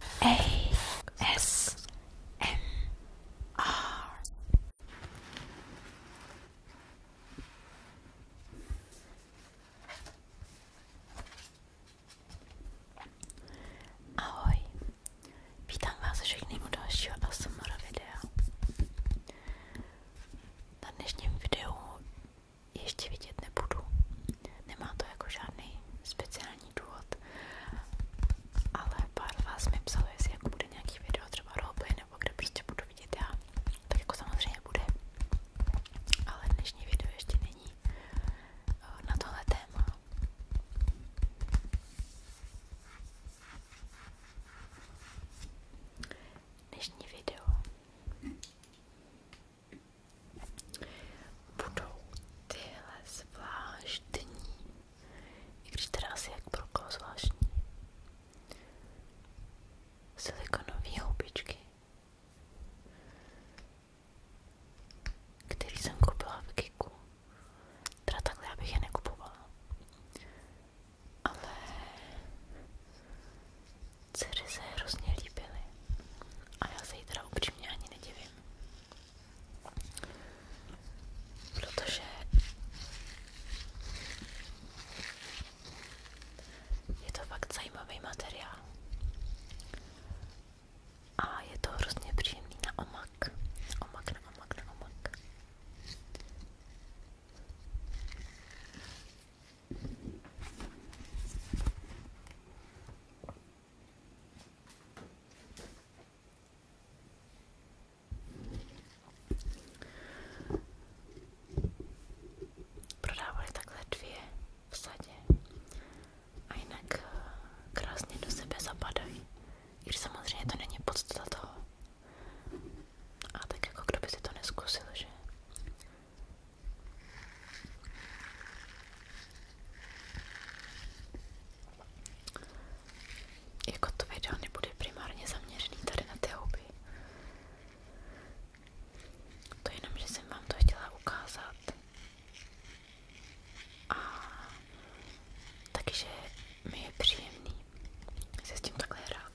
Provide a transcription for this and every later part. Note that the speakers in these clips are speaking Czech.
ASMR. Ahoj, vítám vás všechny u dalšího ASMR videa. Na dnešním videu ještě vidět nebudu. Nemá to jako žádný speciální není důvod. Ale pár vás mi psalo, jestli jako bude nějaký video, třeba roleplay, nebo kde prostě budu vidět já. Tak jako samozřejmě bude. Ale dnešní video ještě není eh, na tohle téma. Dnešní video budou tyhle zvláštní, i když teda asi jak pro koho zvláštní, silikonové houbičky, který jsem koupila v Kiku. Teda takhle já bych je nekupovala. Ale dcery se hrozně líbily. A já se jí teda upřímně ani nedivím. Protože je to fakt zajímavý materiál. A je to hrozně příjemný na omak. Omak, na omak, na omak. Prodávali takhle dvě v sadě a jinak eh, krásně do sebe zapadají. I když samozřejmě to není podstata toho. A tak jako kdo by si to neskusil, že? Jako to video nebude primárně zaměřený tady na ty houby. To jenom, že jsem vám to chtěla ukázat. A takže mi je příjemný se s tím takhle hrát.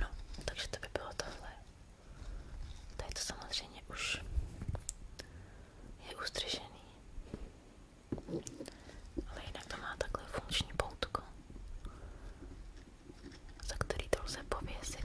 No, takže to by bylo tohle. Tady to samozřejmě už je ustřižený. Ale jinak to má takhle funkční poutko, za který to lze pověsit.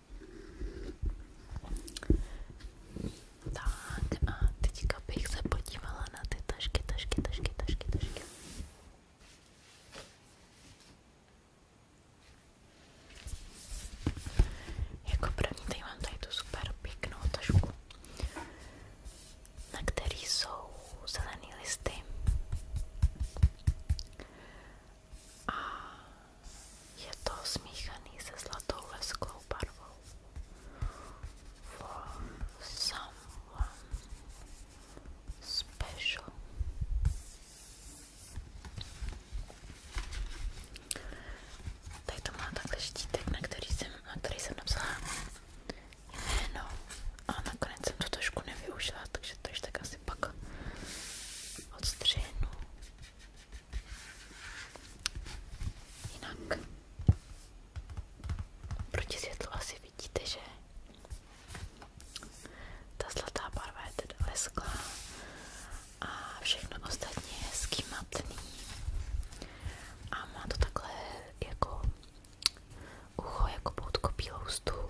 Tak a teďka bych se podívala na ty tašky, tašky, tašky, tašky, tašky. Jako první tady mám tady tu super pěknou tašku, na který jsou zelený listy a je to smíchaný se zlatou lesklou barvou. For someone special. Tady to má takhle štítek, na který jsem, na který jsem napsala jméno a nakonec jsem to trošku nevyužila, takže to ještě tak asi pak odstřihnu Jinak proti světlu asi vidíte, že ta zlatá barva je teda lesklá a všechno ostatně je hezký matný a má to takhle jako ucho, jako poutko bílou stůl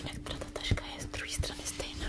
Jinak ta taška je z druhé strany stejná.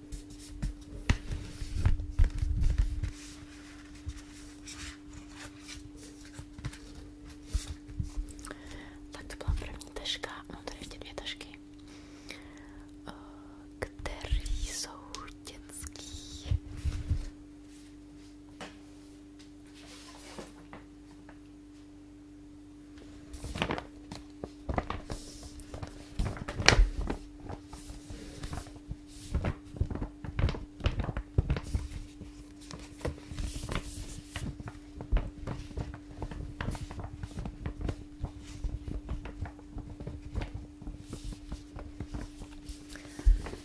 Tak to byla první taška, mám no, tady ještě dvě tašky, eh, které jsou dětský.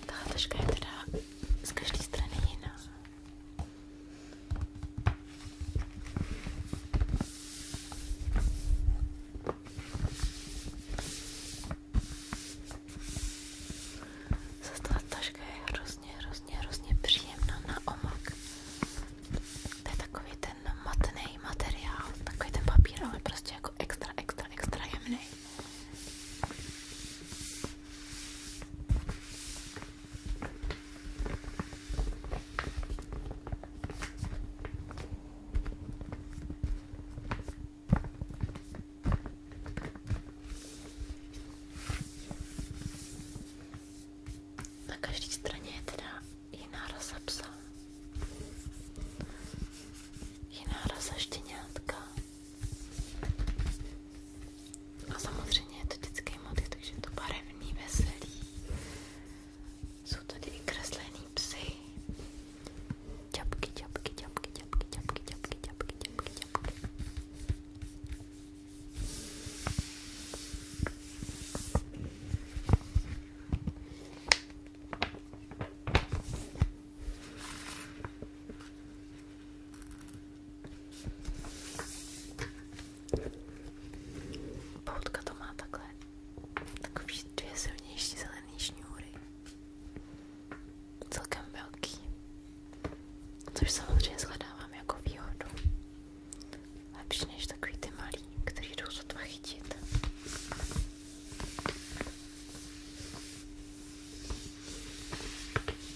Tahle taška je teda z každé strany jiná. Zastala taška je hrozně, hrozně, hrozně příjemná na omak. To je takový ten matný materiál, takový ten papír, ale prostě jako extra, extra, extra jemný. Na každé straně je teda jiná rasa psa, jiná rasa štěňátka a samozřejmě je to dětský motiv, takže je to barevný, veselý. Jsou tady i kreslený psy. Čapky, čapky, čapky, čapky, čapky, čapky, čapky, čapky, čapky. Poutka to má takhle takový dvě silnější zelený šňůry. Celkem velký. Což samozřejmě shledávám jako výhodu. Lepší než takový ty malý, který jdou sotva chytit.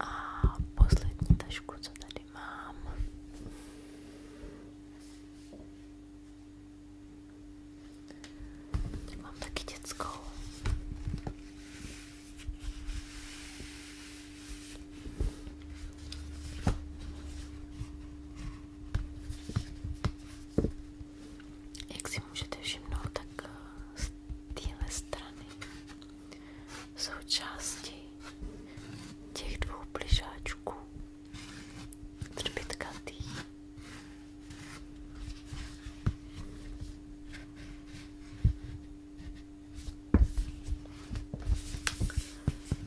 A poslední tašku, co tady mám, tady mám taky dětskou. Jak si můžete všimnout, tak eh, z téhle strany jsou části těch dvou pližáčků třpitkatý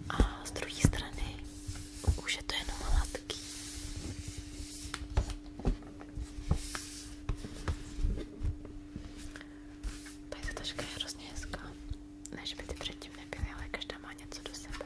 a z druhé strany už je to jenom hladký. Tady ta taška je hrozně hezká. Ne, že by ty předtím nebyly, ale každá má něco do sebe.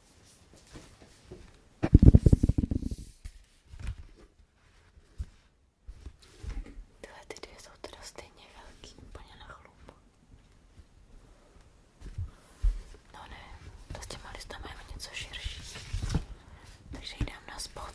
Tyhle ty dvě jsou teda stejně velký, úplně na chlup. No ne, to s těma listama je něco širší. Takže ji dám na spod.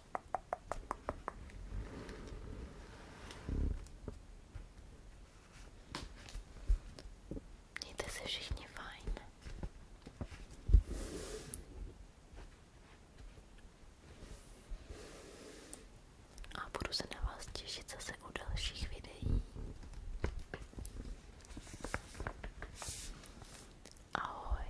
Mějte se všichni fajn. A budu se na vás těšit zase u dalších videí. Ahoj.